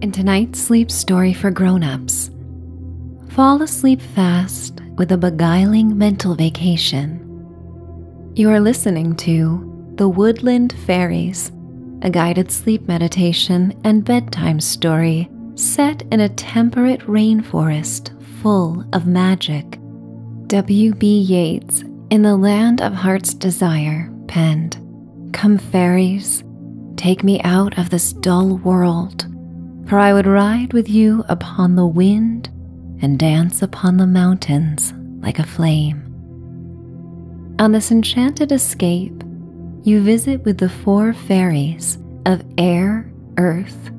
In tonight's sleep story for grown-ups, fall asleep fast with a beguiling mental vacation. You are listening to The Woodland Fairies, a guided sleep meditation and bedtime story set in a temperate rainforest full of magic. W.B. Yeats, in The Land of Heart's Desire, penned. Come, fairies, take me out of this dull world, for I would ride with you upon the wind and dance upon the mountains like a flame. On this enchanted escape, you visit with the four fairies of air, earth,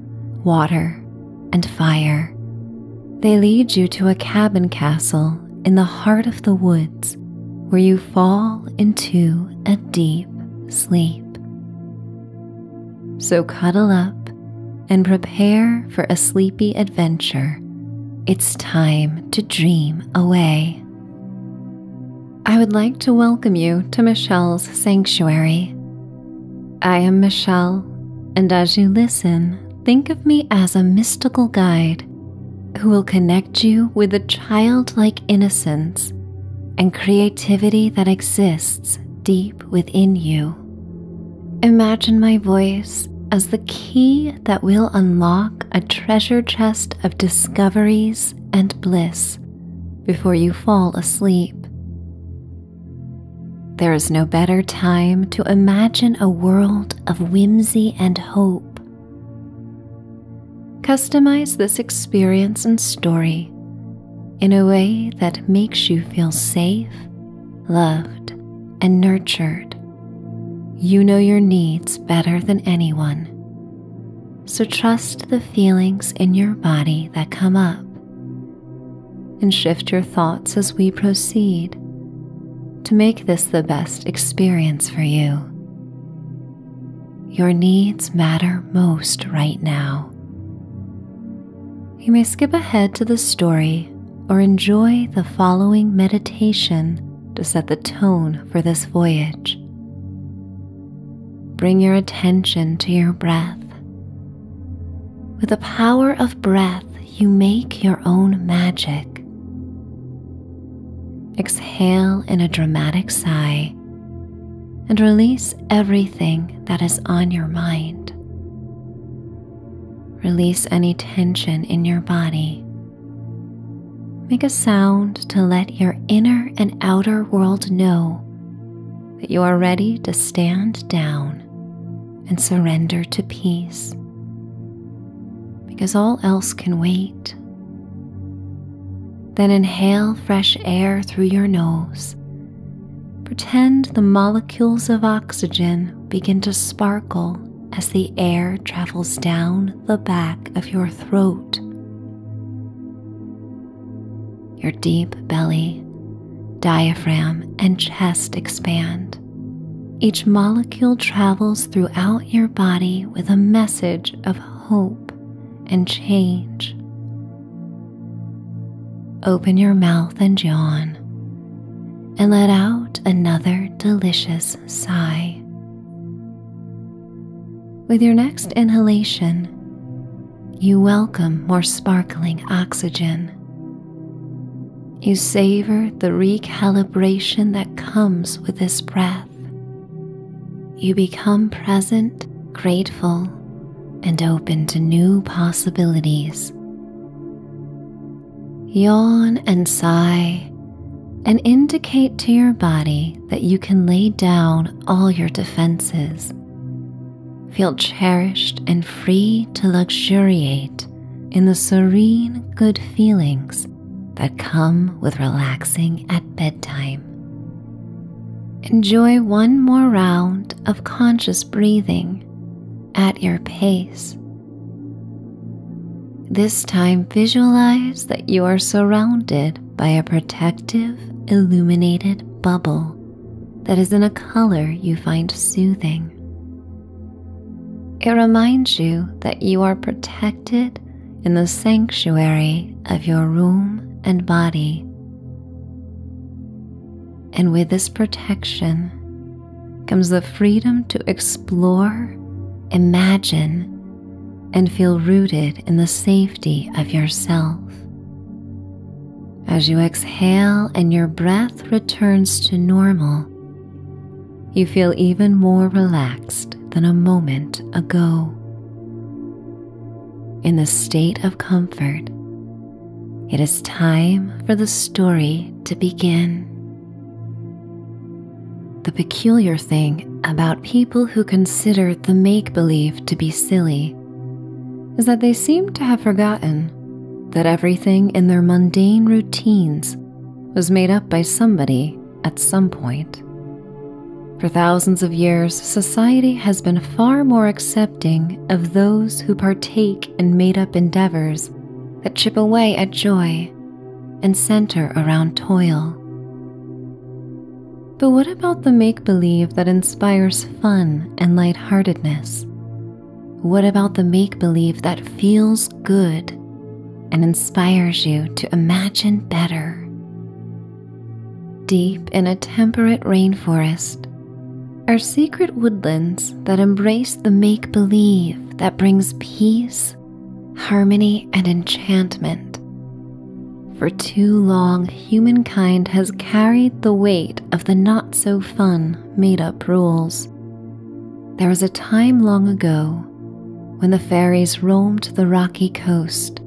water, and fire. They lead you to a cabin castle in the heart of the woods where you fall into a deep sleep. So cuddle up and prepare for a sleepy adventure. It's time to dream away. I would like to welcome you to Michelle's Sanctuary. I am Michelle, and as you listen, think of me as a mystical guide who will connect you with the childlike innocence and creativity that exists deep within you. Imagine my voice as the key that will unlock a treasure chest of discoveries and bliss before you fall asleep. There is no better time to imagine a world of whimsy and hope Customize this experience and story in a way that makes you feel safe, loved, and nurtured. You know your needs better than anyone, so trust the feelings in your body that come up and shift your thoughts as we proceed to make this the best experience for you. Your needs matter most right now. You may skip ahead to the story or enjoy the following meditation to set the tone for this voyage. Bring your attention to your breath. With the power of breath, you make your own magic. Exhale in a dramatic sigh and release everything that is on your mind. Release any tension in your body. Make a sound to let your inner and outer world know that you are ready to stand down and surrender to peace because all else can wait. Then inhale fresh air through your nose. Pretend the molecules of oxygen begin to sparkle as the air travels down the back of your throat. Your deep belly, diaphragm, and chest expand. Each molecule travels throughout your body with a message of hope and change. Open your mouth and yawn, and let out another delicious sigh. With your next inhalation, you welcome more sparkling oxygen. You savor the recalibration that comes with this breath, you become present, grateful, and open to new possibilities. Yawn and sigh, and indicate to your body that you can lay down all your defenses. Feel cherished and free to luxuriate in the serene good feelings that come with relaxing at bedtime. Enjoy one more round of conscious breathing at your pace. This time, visualize that you are surrounded by a protective, illuminated bubble that is in a color you find soothing. It reminds you that you are protected in the sanctuary of your room and body. And with this protection comes the freedom to explore, imagine, and feel rooted in the safety of yourself. As you exhale and your breath returns to normal, you feel even more relaxed than a moment ago. In the state of comfort, it is time for the story to begin. The peculiar thing about people who consider the make believe to be silly is that they seem to have forgotten that everything in their mundane routines was made up by somebody at some point. For thousands of years, society has been far more accepting of those who partake in made up endeavors that chip away at joy and center around toil. But what about the make believe that inspires fun and lightheartedness? What about the make believe that feels good and inspires you to imagine better. Deep in a temperate rainforest are secret woodlands that embrace the make believe that brings peace, harmony, and enchantment. For too long, humankind has carried the weight of the not so fun made up rules. There was a time long ago when the fairies roamed the rocky coast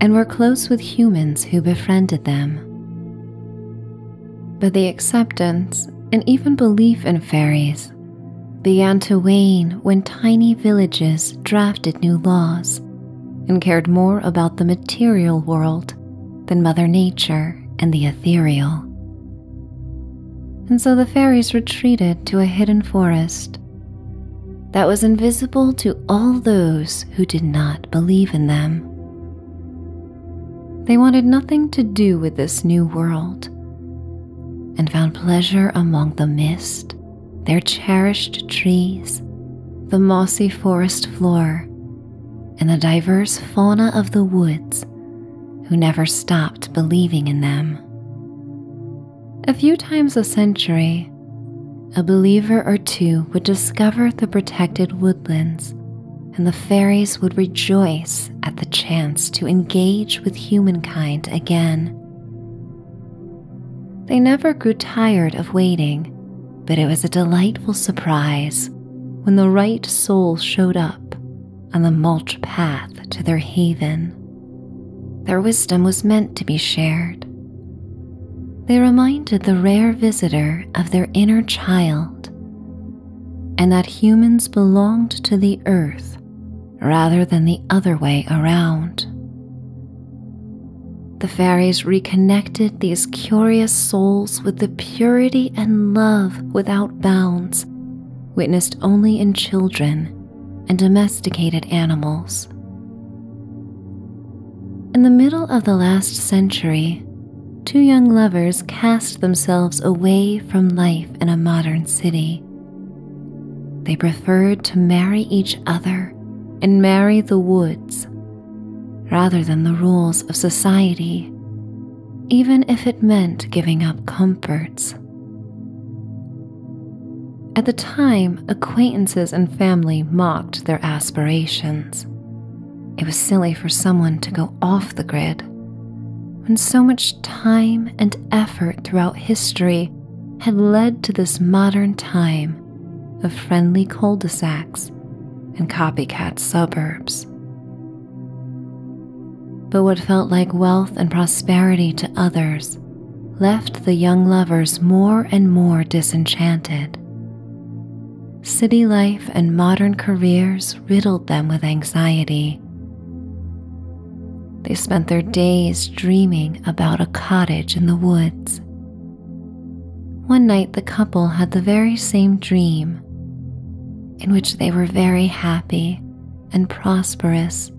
and were close with humans who befriended them. But the acceptance and even belief in fairies began to wane when tiny villages drafted new laws and cared more about the material world than Mother Nature and the ethereal and so the fairies retreated to a hidden forest that was invisible to all those who did not believe in them. They wanted nothing to do with this new world and found pleasure among the mist, their cherished trees, the mossy forest floor, and the diverse fauna of the woods who never stopped believing in them. A few times a century, a believer or two would discover the protected woodlands, and the fairies would rejoice at the chance to engage with humankind again. They never grew tired of waiting, but it was a delightful surprise when the right soul showed up on the mulch path to their haven. Their wisdom was meant to be shared. They reminded the rare visitor of their inner child and that humans belonged to the earth rather than the other way around. The fairies reconnected these curious souls with the purity and love without bounds witnessed only in children and domesticated animals. In the middle of the last century, two young lovers cast themselves away from life in a modern city. They preferred to marry each other and marry the woods rather than the rules of society, even if it meant giving up comforts at the time, acquaintances and family mocked their aspirations. It was silly for someone to go off the grid when so much time and effort throughout history had led to this modern time of friendly cul de sacs and copycat suburbs. But what felt like wealth and prosperity to others left the young lovers more and more disenchanted. City life and modern careers riddled them with anxiety. They spent their days dreaming about a cottage in the woods. One night, the couple had the very same dream, in which they were very happy and prosperous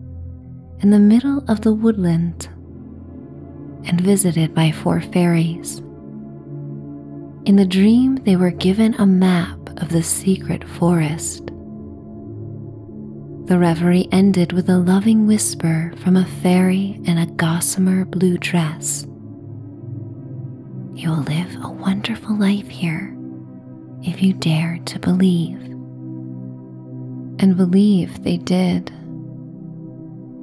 in the middle of the woodland and visited by four fairies. In the dream, they were given a map of the secret forest. The reverie ended with a loving whisper from a fairy in a gossamer blue dress. You will live a wonderful life here, if you dared to believe. And believe they did.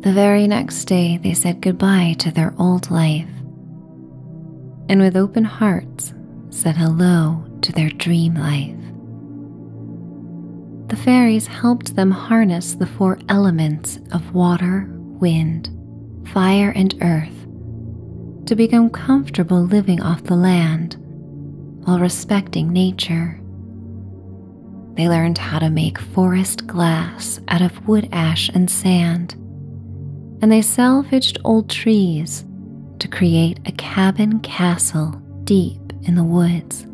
The very next day, they said goodbye to their old life and with open hearts said hello to their dream life. The fairies helped them harness the four elements of water, wind, fire, and earth to become comfortable living off the land while respecting nature. They learned how to make forest glass out of wood ash and sand, and they salvaged old trees to create a cabin castle deep in the woods.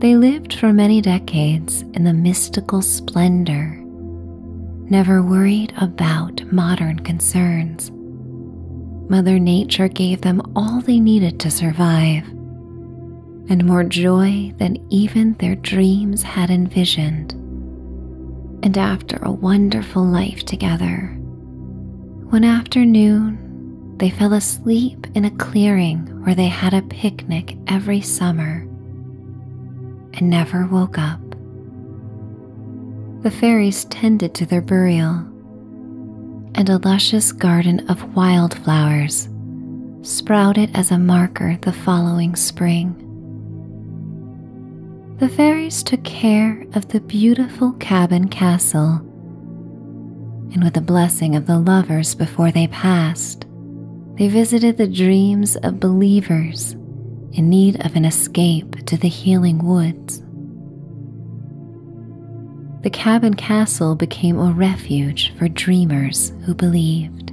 They lived for many decades in the mystical splendor, never worried about modern concerns. Mother Nature gave them all they needed to survive, and more joy than even their dreams had envisioned. And after a wonderful life together, one afternoon they fell asleep in a clearing where they had a picnic every summer and never woke up. The fairies tended to their burial and a luscious garden of wildflowers sprouted as a marker the following spring. The fairies took care of the beautiful cabin castle, and with the blessing of the lovers before they passed, they visited the dreams of believers in need of an escape to the healing woods. The cabin castle became a refuge for dreamers who believed.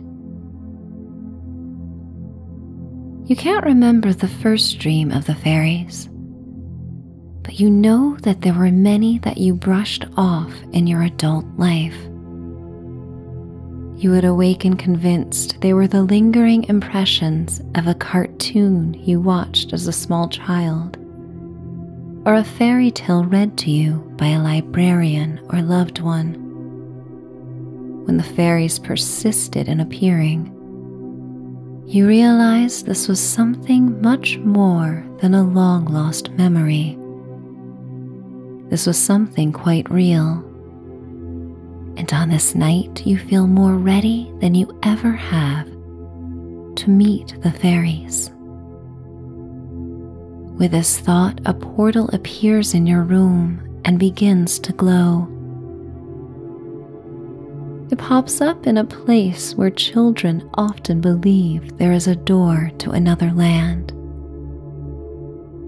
You can't remember the first dream of the fairies, but you know that there were many that you brushed off in your adult life. You would awaken convinced they were the lingering impressions of a cartoon you watched as a small child, or a fairy tale read to you by a librarian or loved one. When the fairies persisted in appearing, you realized this was something much more than a long lost memory. This was something quite real. And on this night, you feel more ready than you ever have to meet the fairies. With this thought, a portal appears in your room and begins to glow. It pops up in a place where children often believe there is a door to another land.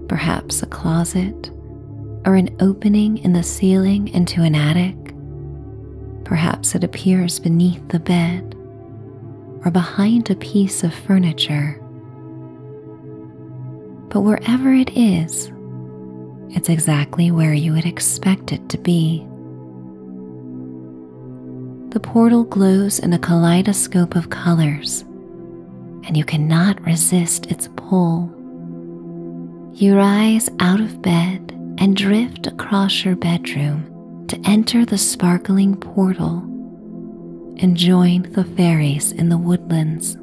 Perhaps a closet or an opening in the ceiling into an attic. Perhaps it appears beneath the bed or behind a piece of furniture. But wherever it is, it's exactly where you would expect it to be. The portal glows in a kaleidoscope of colors, and you cannot resist its pull. You rise out of bed and drift across your bedroom to enter the sparkling portal and join the fairies in the woodlands.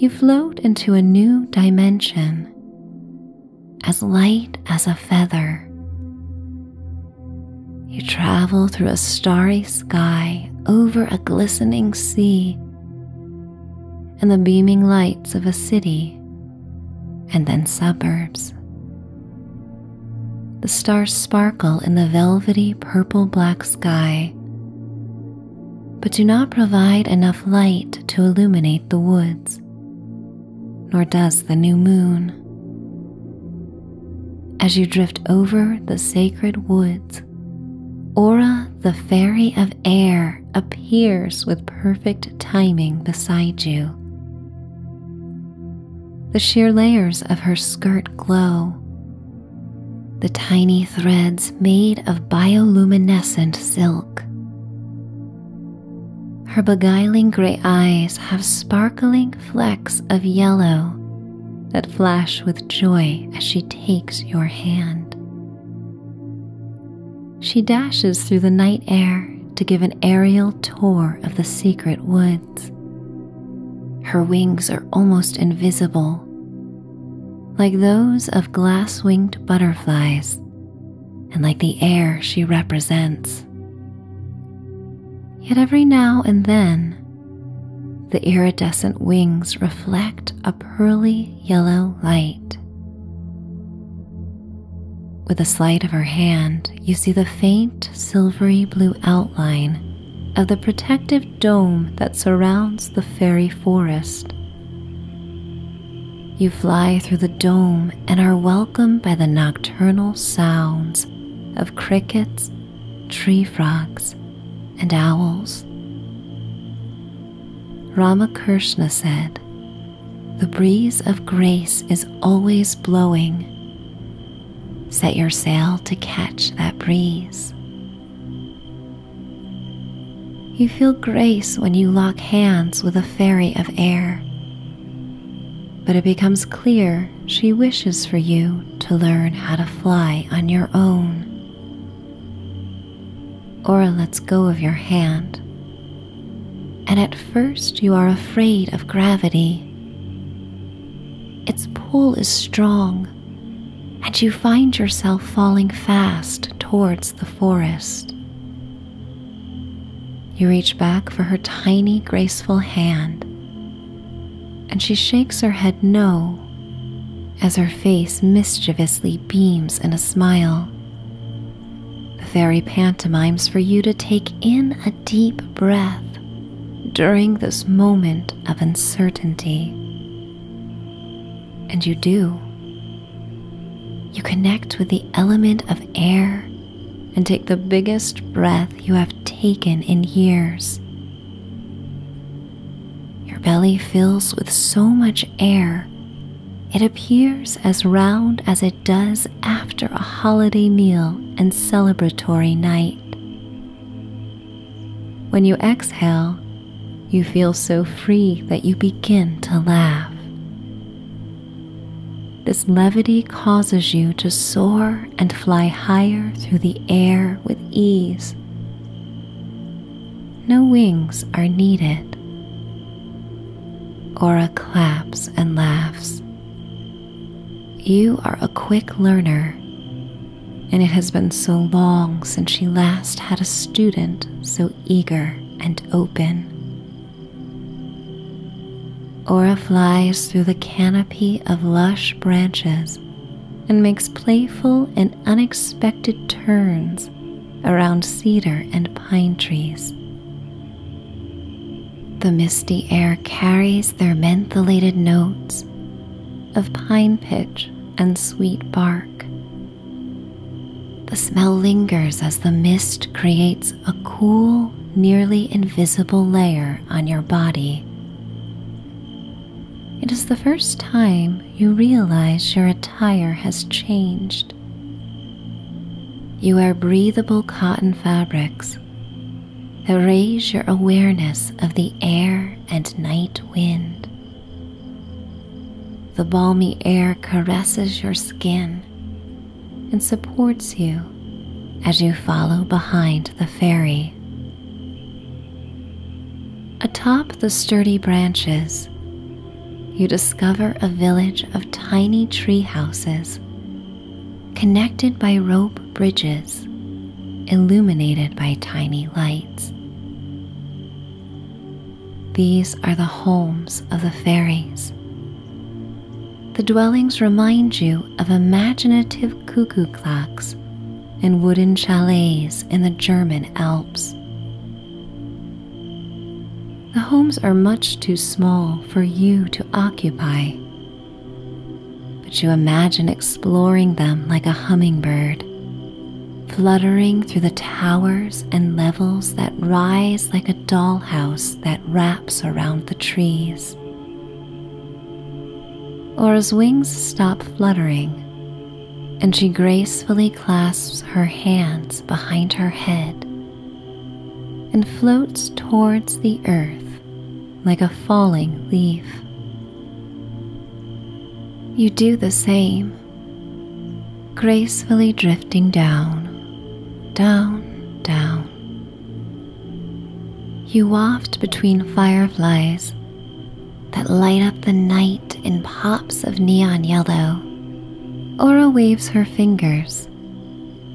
You float into a new dimension as light as a feather. You travel through a starry sky over a glistening sea and the beaming lights of a city and then suburbs. The stars sparkle in the velvety purple black sky, but do not provide enough light to illuminate the woods, nor does the new moon. As you drift over the sacred woods, Aura, the fairy of air, appears with perfect timing beside you. The sheer layers of her skirt glow. The tiny threads made of bioluminescent silk. Her beguiling gray eyes have sparkling flecks of yellow that flash with joy as she takes your hand. She dashes through the night air to give an aerial tour of the secret woods. Her wings are almost invisible, like those of glass winged butterflies, and like the air she represents. Yet every now and then, the iridescent wings reflect pearly yellow light. With a sleight of her hand, you see the faint silvery blue outline of the protective dome that surrounds the fairy forest. You fly through the dome and are welcomed by the nocturnal sounds of crickets, tree frogs, and owls. Ramakrishna said, The breeze of grace is always blowing. Set your sail to catch that breeze. You feel grace when you lock hands with a fairy of air, but it becomes clear she wishes for you to learn how to fly on your own. Aura lets go of your hand. And at first, you are afraid of gravity. Its pull is strong, and you find yourself falling fast towards the forest. You reach back for her tiny, graceful hand, and she shakes her head no as her face mischievously beams in a smile. The fairy pantomimes for you to take in a deep breath during this moment of uncertainty. And you do. You connect with the element of air and take the biggest breath you have taken in years. Your belly fills with so much air it appears as round as it does after a holiday meal and celebratory night. When you exhale, you feel so free that you begin to laugh. This levity causes you to soar and fly higher through the air with ease no wings are needed. Aura claps and laughs. You are a quick learner, and it has been so long since she last had a student so eager and open. Aura flies through the canopy of lush branches and makes playful and unexpected turns around cedar and pine trees. The misty air carries their mentholated notes of pine pitch and sweet bark. The smell lingers as the mist creates a cool, nearly invisible layer on your body. It is the first time you realize you're a attire has changed. You wear breathable cotton fabrics that raise your awareness of the air and night wind. The balmy air caresses your skin and supports you as you follow behind the fairy. Atop the sturdy branches, you discover a village of tiny tree houses connected by rope bridges illuminated by tiny lights. These are the homes of the fairies. The dwellings remind you of imaginative cuckoo clocks and wooden chalets in the German Alps. The homes are much too small for you to occupy, but you imagine exploring them like a hummingbird, fluttering through the towers and levels that rise like a dollhouse that wraps around the trees. Or as wings stop fluttering, and she gracefully clasps her hands behind her head and floats towards the earth like a falling leaf. You do the same, gracefully drifting down, down, down. You waft between fireflies that light up the night in pops of neon yellow. Aura waves her fingers,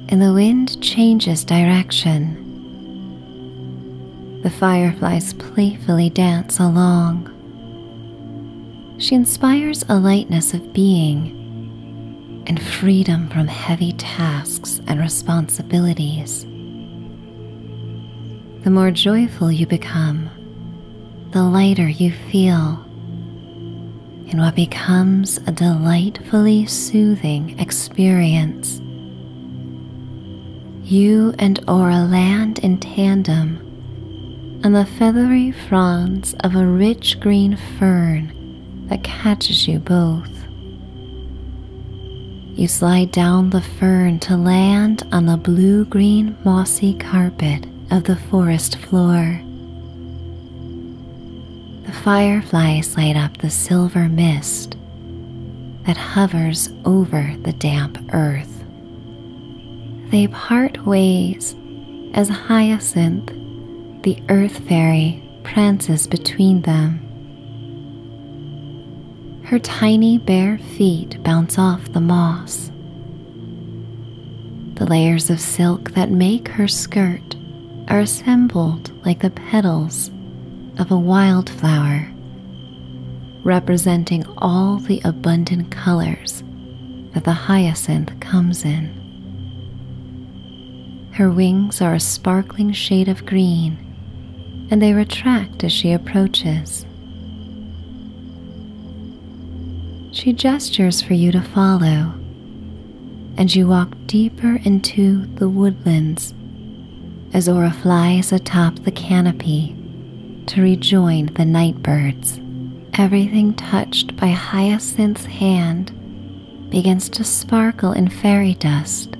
and the wind changes direction. The fireflies playfully dance along. She inspires a lightness of being and freedom from heavy tasks and responsibilities. The more joyful you become, the lighter you feel in what becomes a delightfully soothing experience. You and Aura land in tandem on the feathery fronds of a rich green fern that catches you both. You slide down the fern to land on the blue green mossy carpet of the forest floor. The fireflies light up the silver mist that hovers over the damp earth. They part ways as Hyacinth, the earth fairy, prances between them. Her tiny bare feet bounce off the moss the layers of silk that make her skirt are assembled like the petals of a wildflower, representing all the abundant colors that the hyacinth comes in. Her wings are a sparkling shade of green, and they retract as she approaches. She gestures for you to follow, and you walk deeper into the woodlands as Ora flies atop the canopy to rejoin the night birds. Everything touched by Hyacinth's hand begins to sparkle in fairy dust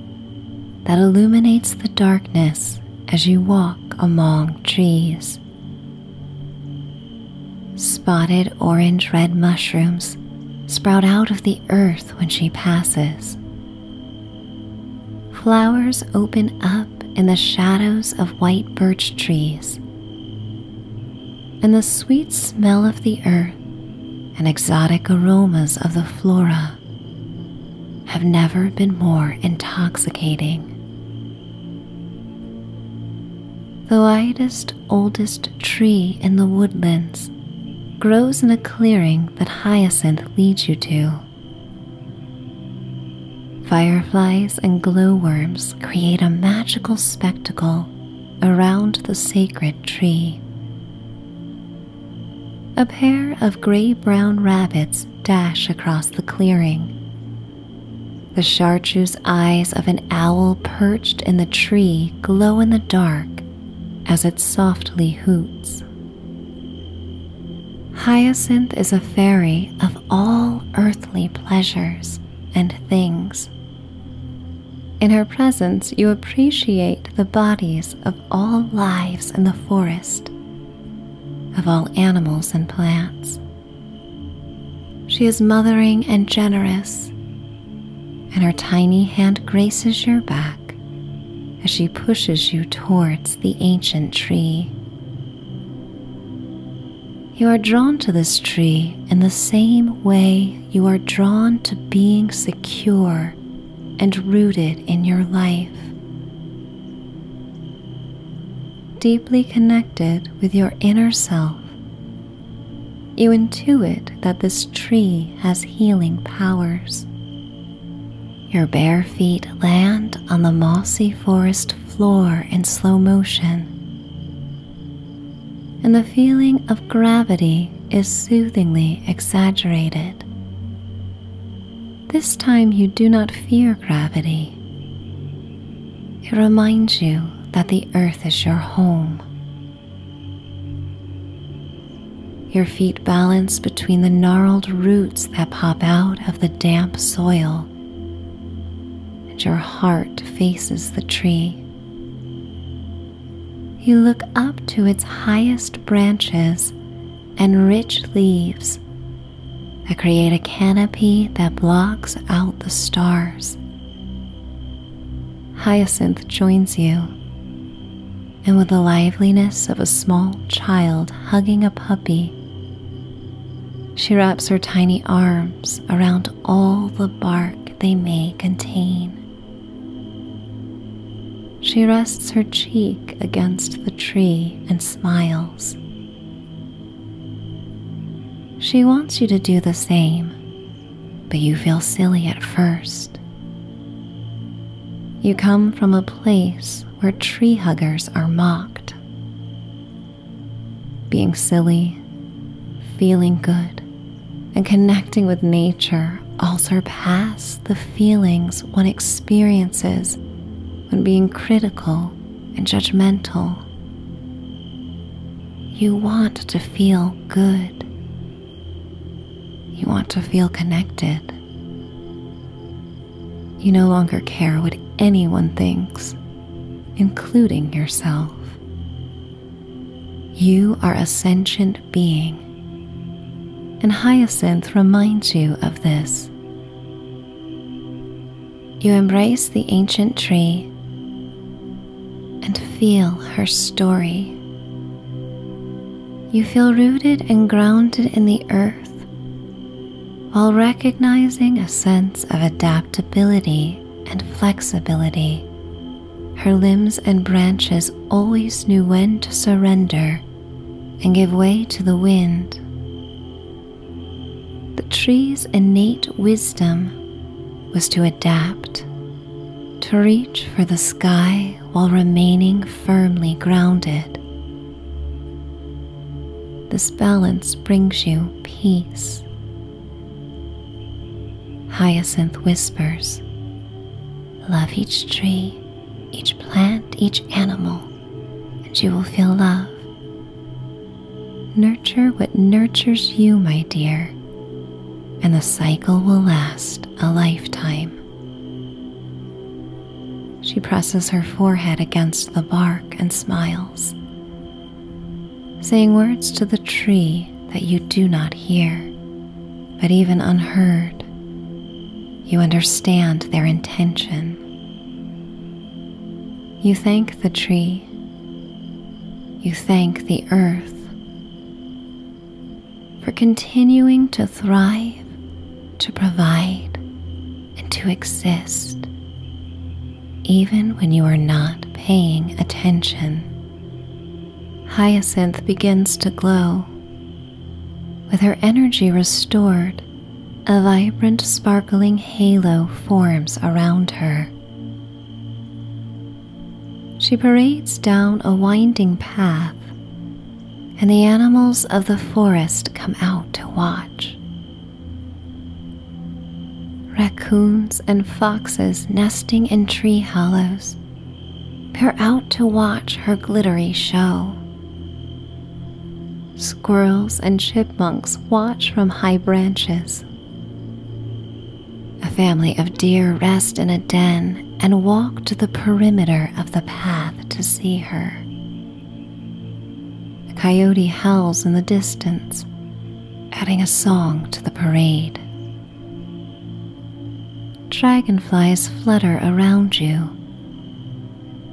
that illuminates the darkness as you walk among trees. Spotted orange red mushrooms sprout out of the earth when she passes. Flowers open up in the shadows of white birch trees, and the sweet smell of the earth and exotic aromas of the flora have never been more intoxicating. The widest, oldest tree in the woodlands grows in a clearing that hyacinth leads you to. Fireflies and glowworms create a magical spectacle around the sacred tree. A pair of gray brown rabbits dash across the clearing. The chartreuse eyes of an owl perched in the tree glow in the dark as it softly hoots. Hyacinth is a fairy of all earthly pleasures and things. In her presence, you appreciate the bodies of all lives in the forest, of all animals and plants, she is mothering and generous, and her tiny hand graces your back as she pushes you towards the ancient tree. You are drawn to this tree in the same way you are drawn to being secure and rooted in your life. Deeply connected with your inner self, you intuit that this tree has healing powers. Your bare feet land on the mossy forest floor in slow motion, and the feeling of gravity is soothingly exaggerated. This time you do not fear gravity. It reminds you that the earth is your home. Your feet balance between the gnarled roots that pop out of the damp soil, and your heart faces the tree. You look up to its highest branches and rich leaves I create a canopy that blocks out the stars. Hyacinth joins you, and with the liveliness of a small child hugging a puppy, she wraps her tiny arms around all the bark they may contain. She rests her cheek against the tree and smiles. She wants you to do the same, but you feel silly at first. You come from a place where tree huggers are mocked. Being silly, feeling good, and connecting with nature all surpass the feelings one experiences when being critical and judgmental. You want to feel good. You want to feel connected. You no longer care what anyone thinks, including yourself. You are a sentient being, and Hyacinth reminds you of this you embrace the ancient tree and feel her story. You feel rooted and grounded in the earth while recognizing a sense of adaptability and flexibility. Her limbs and branches always knew when to surrender and give way to the wind. The tree's innate wisdom was to adapt, to reach for the sky while remaining firmly grounded. This balance brings you peace. Hyacinth whispers, Love each tree, each plant, each animal, and you will feel love." Nurture what nurtures you, my dear, and the cycle will last a lifetime. She presses her forehead against the bark and smiles, saying words to the tree that you do not hear, but even unheard, you understand their intention. You thank the tree. You thank the earth for continuing to thrive, to provide, and to exist, even when you are not paying attention. Hyacinth begins to glow. With her energy restored, a vibrant, sparkling halo forms around her. She parades down a winding path, and the animals of the forest come out to watch. Raccoons and foxes nesting in tree hollows peer out to watch her glittery show. Squirrels and chipmunks watch from high branches a family of deer rest in a den and walk to the perimeter of the path to see her. A coyote howls in the distance, adding a song to the parade. Dragonflies flutter around you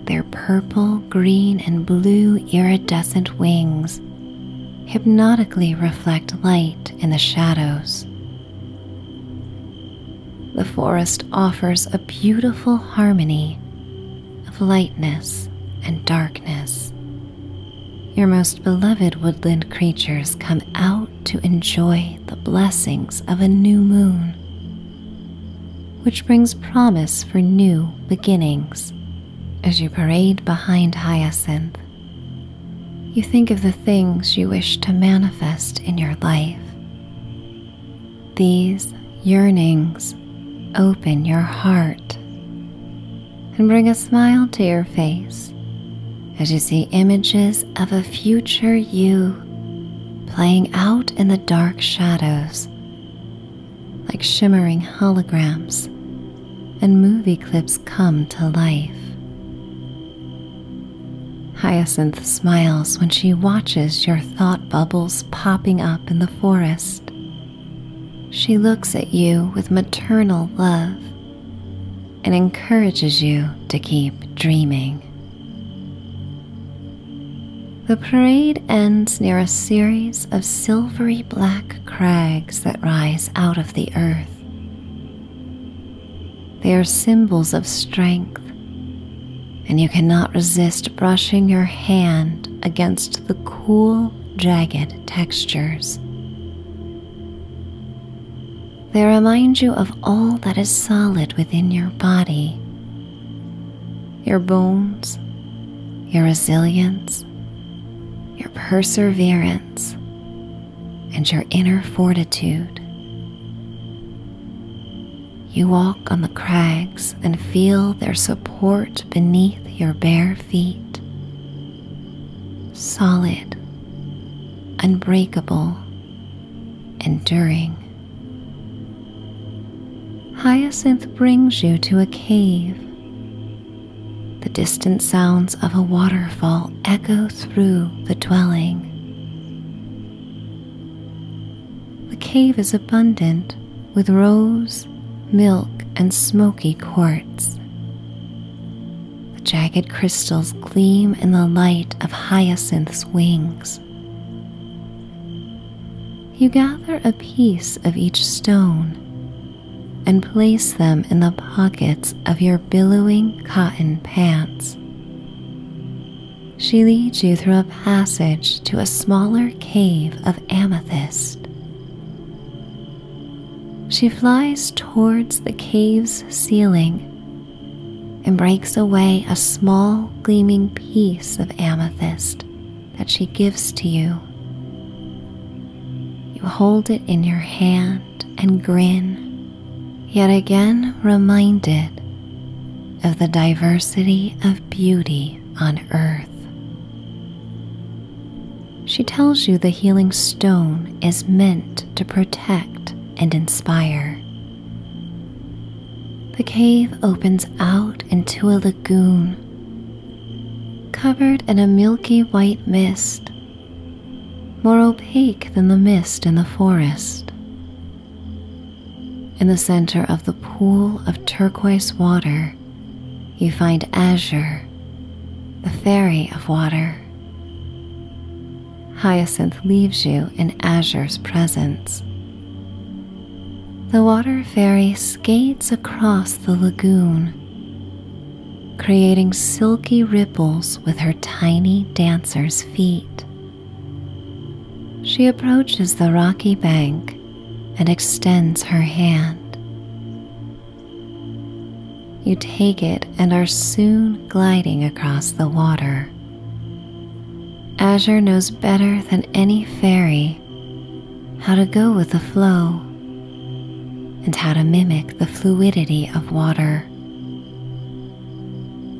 their purple, green, and blue iridescent wings hypnotically reflect light in the shadows. The forest offers a beautiful harmony of lightness and darkness. Your most beloved woodland creatures come out to enjoy the blessings of a new moon, which brings promise for new beginnings. As you parade behind Hyacinth, you think of the things you wish to manifest in your life. These yearnings open your heart and bring a smile to your face as you see images of a future you playing out in the dark shadows like shimmering holograms, and movie clips come to life. Hyacinth smiles when she watches your thought bubbles popping up in the forest. She looks at you with maternal love and encourages you to keep dreaming. The parade ends near a series of silvery black crags that rise out of the earth. They are symbols of strength, and you cannot resist brushing your hand against the cool, jagged textures. They remind you of all that is solid within your body your bones, your resilience, your perseverance, and your inner fortitude. You walk on the crags and feel their support beneath your bare feet. Solid, unbreakable, enduring. Hyacinth brings you to a cave the distant sounds of a waterfall echo through the dwelling. The cave is abundant with rose, milk, and smoky quartz. The jagged crystals gleam in the light of hyacinth's wings. You gather a piece of each stone and place them in the pockets of your billowing cotton pants. She leads you through a passage to a smaller cave of amethyst. She flies towards the cave's ceiling and breaks away a small gleaming piece of amethyst that she gives to you. You hold it in your hand and grin, yet again reminded of the diversity of beauty on earth. She tells you the healing stone is meant to protect and inspire. The cave opens out into a lagoon covered in a milky white mist, more opaque than the mist in the forest. In the center of the pool of turquoise water, you find Azure, the fairy of water. Hyacinth leaves you in Azure's presence. The water fairy skates across the lagoon, creating silky ripples with her tiny dancer's feet. She approaches the rocky bank and extends her hand. You take it and are soon gliding across the water. Azure knows better than any fairy how to go with the flow, and how to mimic the fluidity of water.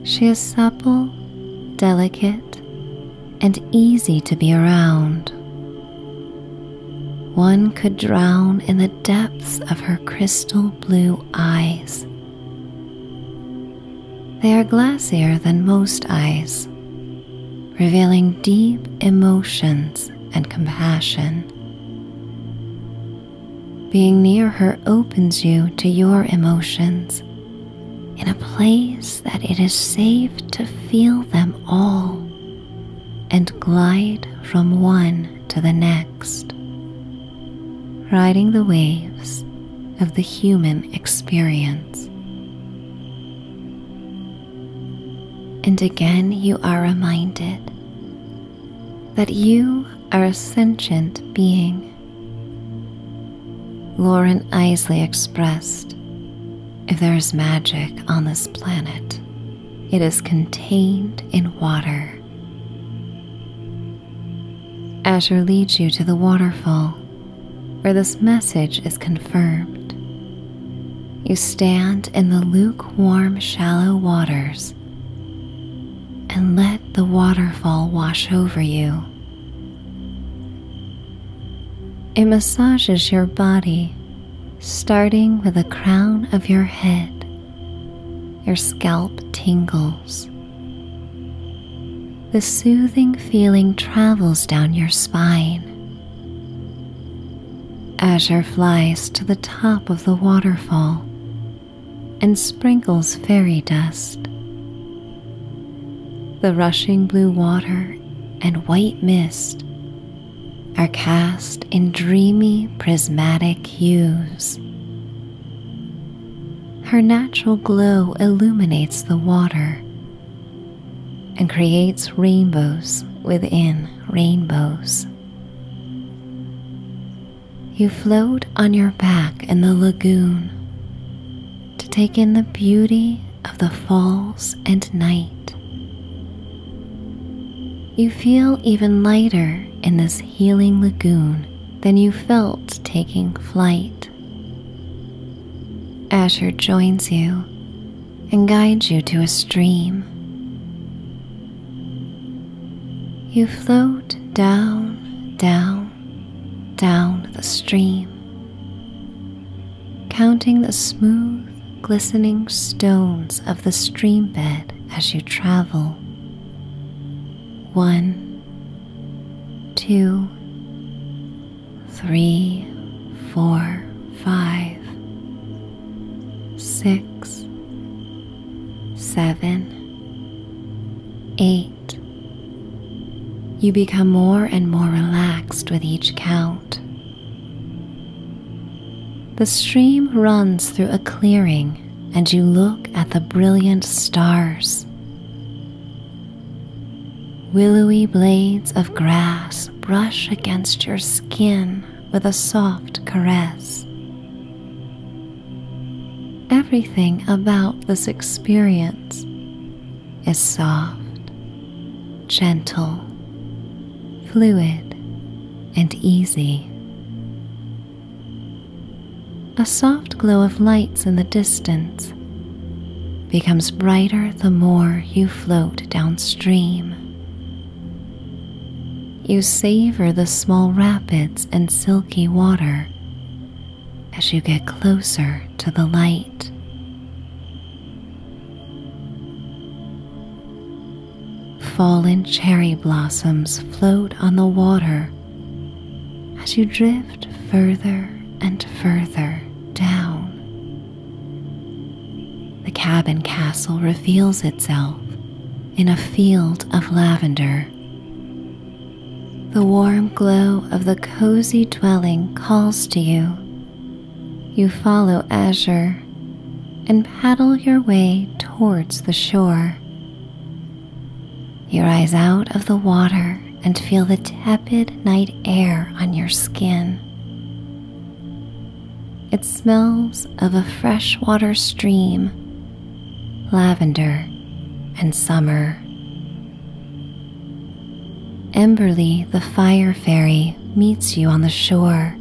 She is supple, delicate, and easy to be around. One could drown in the depths of her crystal blue eyes. They are glassier than most eyes revealing deep emotions and compassion. Being near her opens you to your emotions in a place that it is safe to feel them all and glide from one to the next, riding the waves of the human experience. And again, you are reminded that you are a sentient being. Lauren Isley expressed If there is magic on this planet, it is contained in water. Asher leads you to the waterfall where this message is confirmed you stand in the lukewarm, shallow waters and let the waterfall wash over you. It massages your body, starting with the crown of your head. Your scalp tingles. The soothing feeling travels down your spine, Azure flies to the top of the waterfall and sprinkles fairy dust. The rushing blue water and white mist are cast in dreamy prismatic hues. Her natural glow illuminates the water and creates rainbows within rainbows. You float on your back in the lagoon to take in the beauty of the falls and night. You feel even lighter in this healing lagoon than you felt taking flight. Asher joins you and guides you to a stream. You float down, down, down the stream, counting the smooth, glistening stones of the stream bed as you travel. One, two, three, four, five, six, seven, eight. You become more and more relaxed with each count. The stream runs through a clearing, and you look at the brilliant stars. Willowy blades of grass brush against your skin with a soft caress. Everything about this experience is soft, gentle, fluid, and easy. A soft glow of lights in the distance becomes brighter the more you float downstream. You savor the small rapids and silky water as you get closer to the light. Fallen cherry blossoms float on the water as you drift further and further down. The cabin castle reveals itself in a field of lavender. The warm glow of the cozy dwelling calls to you. You follow Azure and paddle your way towards the shore. You rise out of the water and feel the tepid night air on your skin. It smells of a freshwater stream, lavender, and summer. Emberly, the fire fairy, meets you on the shore.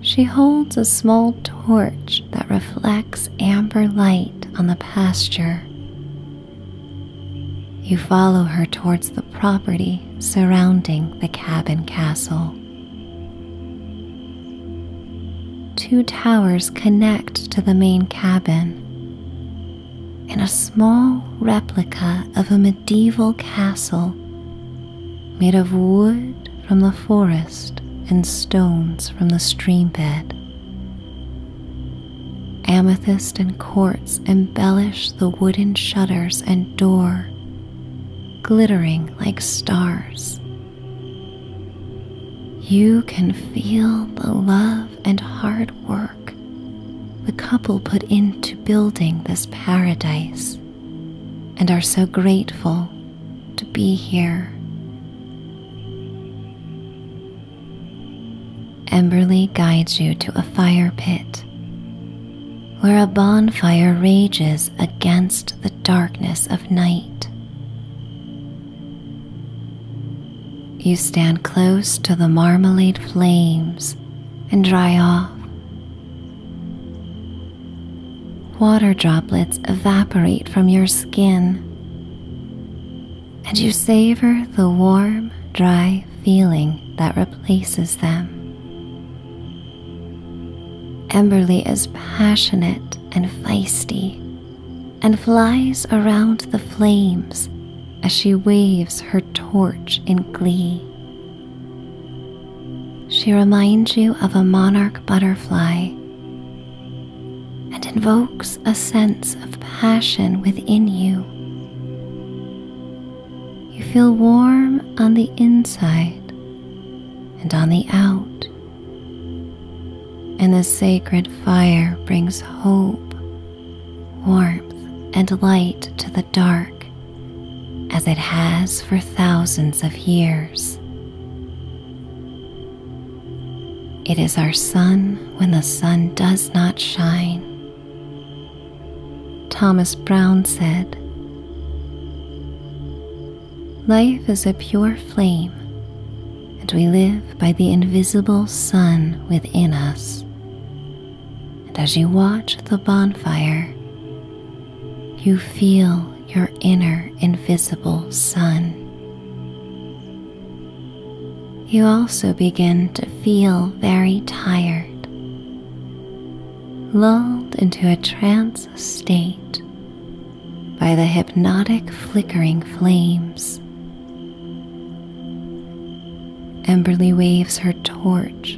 She holds a small torch that reflects amber light on the pasture. You follow her towards the property surrounding the cabin castle. Two towers connect to the main cabin, In a small replica of a medieval castle made of wood from the forest and stones from the stream bed. Amethyst and quartz embellish the wooden shutters and door glittering like stars. You can feel the love and hard work the couple put into building this paradise and are so grateful to be here. Emberly guides you to a fire pit where a bonfire rages against the darkness of night. You stand close to the marmalade flames and dry off. Water droplets evaporate from your skin, and you savor the warm, dry feeling that replaces them. Emberly is passionate and feisty and flies around the flames as she waves her torch in glee. She reminds you of a monarch butterfly and invokes a sense of passion within you. You feel warm on the inside and on the out, and the sacred fire brings hope, warmth, and light to the dark as it has for thousands of years. It is our sun when the sun does not shine, Thomas Brown said, Life is a pure flame, and we live by the invisible sun within us. And as you watch the bonfire, you feel your inner invisible sun. You also begin to feel very tired lulled into a trance state by the hypnotic flickering flames. Emberly waves her torch,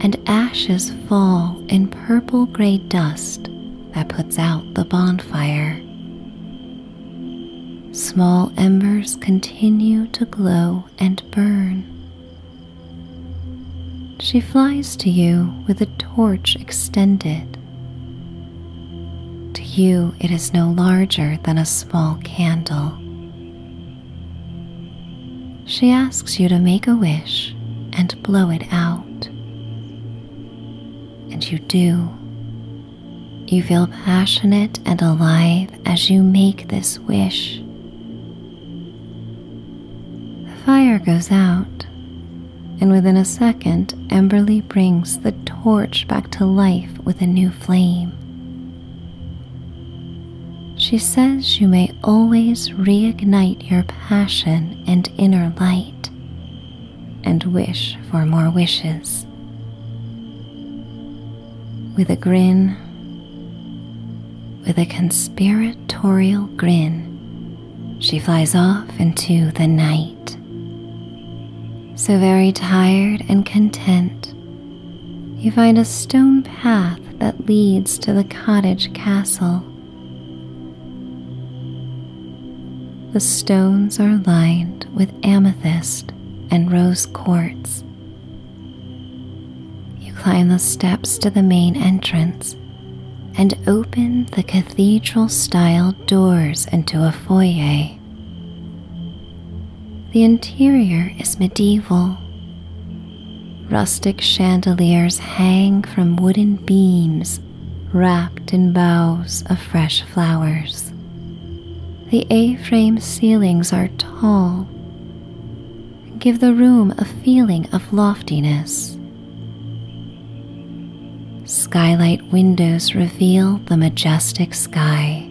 and ashes fall in purple gray dust that puts out the bonfire. Small embers continue to glow and burn, she flies to you with a torch extended. To you, it is no larger than a small candle. She asks you to make a wish and blow it out. And you do. You feel passionate and alive as you make this wish. The fire goes out, and within a second, Emberly brings the torch back to life with a new flame. She says you may always reignite your passion and inner light and wish for more wishes. With a grin, with a conspiratorial grin, she flies off into the night. So very tired and content, you find a stone path that leads to the cottage castle. The stones are lined with amethyst and rose quartz, you climb the steps to the main entrance and open the cathedral style doors into a foyer. The interior is medieval. Rustic chandeliers hang from wooden beams wrapped in boughs of fresh flowers. The A frame ceilings are tall, give the room a feeling of loftiness. Skylight windows reveal the majestic sky.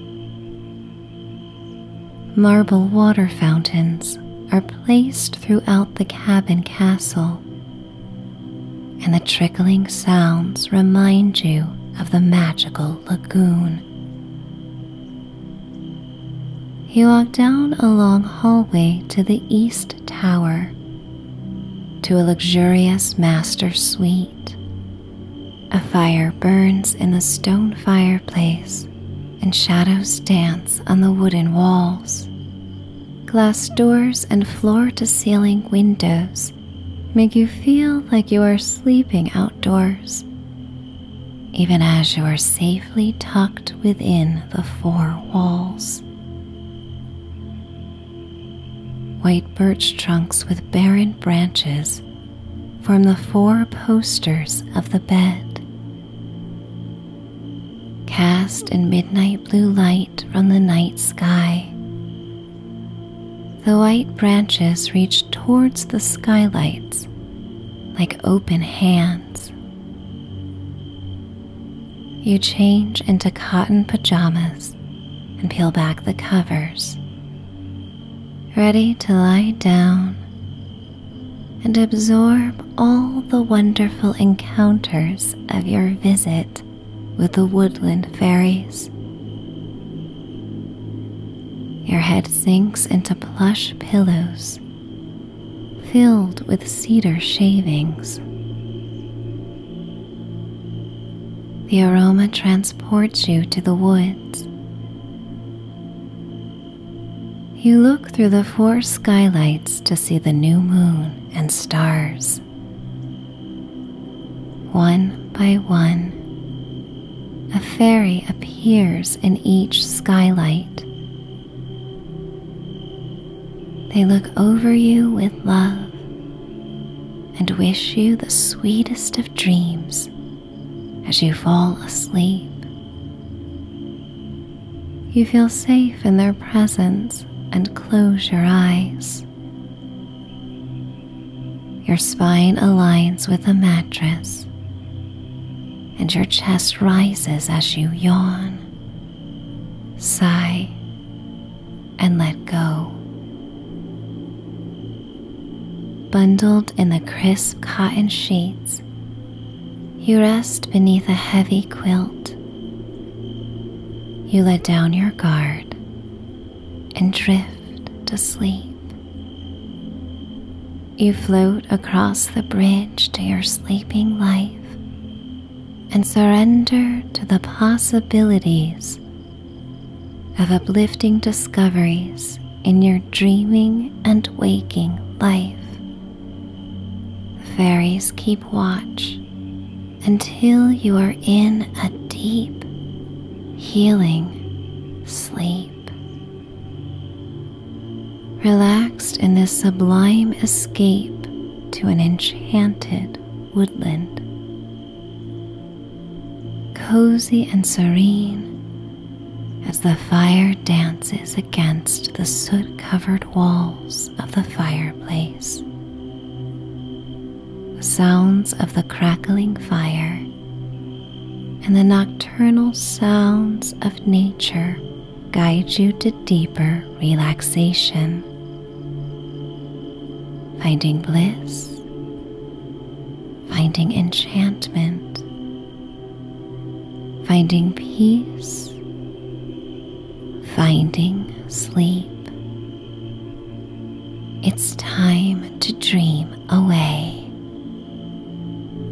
Marble water fountains are placed throughout the cabin castle, and the trickling sounds remind you of the magical lagoon. He walked down a long hallway to the east tower, to a luxurious master suite. A fire burns in the stone fireplace, and shadows dance on the wooden walls. Glass doors and floor to ceiling windows make you feel like you are sleeping outdoors even as you are safely tucked within the four walls. White birch trunks with barren branches form the four posters of the bed. Cast in midnight blue light from the night sky, the white branches reach towards the skylights like open hands. You change into cotton pajamas and peel back the covers, ready to lie down and absorb all the wonderful encounters of your visit with the woodland fairies. Your head sinks into plush pillows filled with cedar shavings. The aroma transports you to the woods. You look through the four skylights to see the new moon and stars. One by one, a fairy appears in each skylight they look over you with love and wish you the sweetest of dreams as you fall asleep. You feel safe in their presence and close your eyes. Your spine aligns with the mattress and your chest rises as you yawn, sigh, and let go. Bundled in the crisp cotton sheets, you rest beneath a heavy quilt. You let down your guard and drift to sleep. You float across the bridge to your sleeping life and surrender to the possibilities of uplifting discoveries in your dreaming and waking life. The fairies keep watch until you are in a deep, healing sleep relaxed in this sublime escape to an enchanted woodland. Cozy and serene as the fire dances against the soot covered walls of the fireplace. sounds of the crackling fire and the nocturnal sounds of nature Guide you to deeper relaxation, finding bliss, finding enchantment, finding peace, finding sleep. It's time to dream away.